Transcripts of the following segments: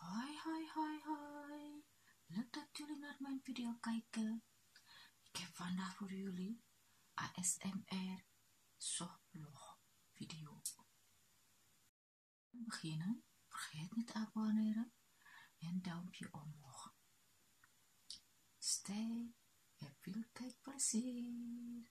Hoi, hoi, hoi, hoi. Leuk dat jullie naar mijn video kijken. Ik heb vandaag voor jullie ASMR softblog video. Om beginnen, vergeet niet te abonneren en duimpje omhoog. Stay en veel kijkplezier.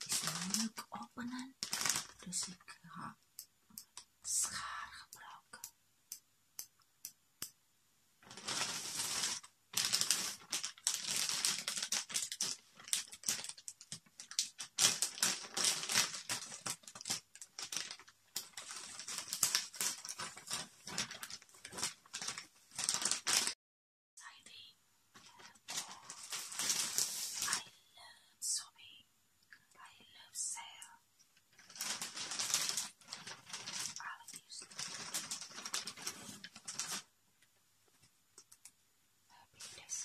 Het is openen, dus ik ga schaar gebruiken. Sadie, I love Sophie. I love Sarah. I love you. Happiness.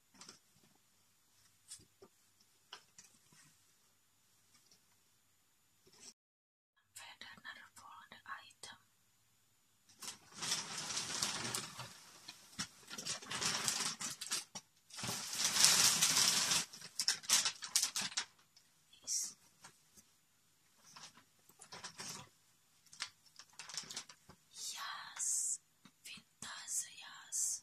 another found item. Yes. yes, Vintas, yes.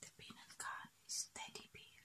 The peanut gun is teddy bear.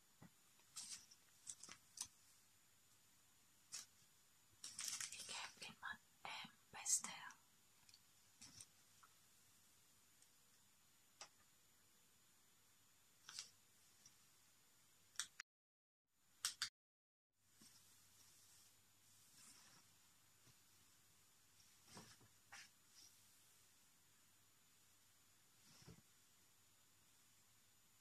Ik heb iemand hem besteld.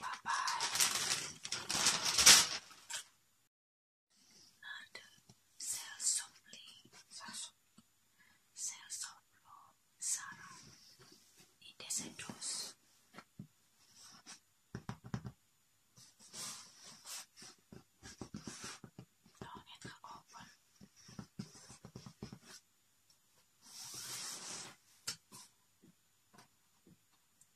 Bye bye. Nada. Sell softly. Sarah. It doesn't close. do open.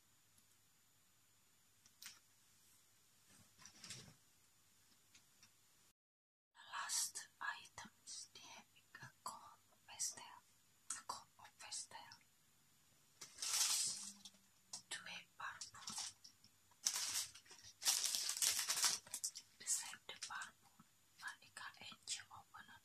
The last item is the a corn pastel. A corn pastel. To a purple. Beside the purple, Monica angel opener.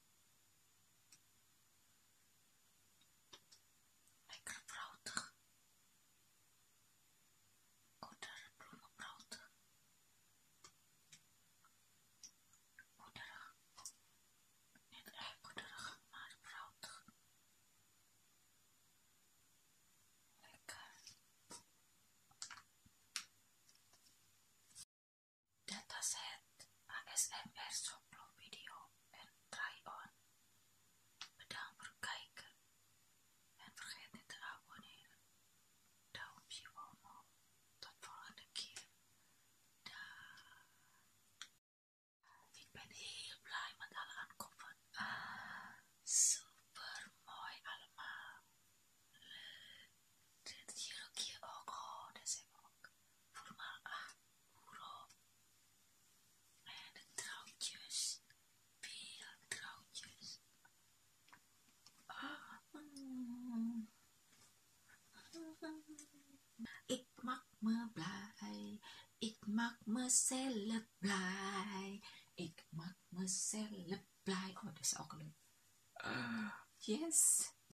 Lekker brood. Kortere bloemenbrood. Korterig. Niet echt korterig, maar brood. Lekker dataset was het asmr video en try-on. Bedankt voor het kijken en vergeet niet te abonneren. Duimpje Tot volgende keer. Da Ik ben heel blij met alle aankopen. Ah, super mooi allemaal. Leuk. Dit hier ook hier oh, ook. dat ook voel aan hoerop. En de trouwtjes, veel trouwtjes. Ik maak me blij, ik maak mezelf blij, ik maak mezelf blij. Oh, is ook leuk. Ah. yes.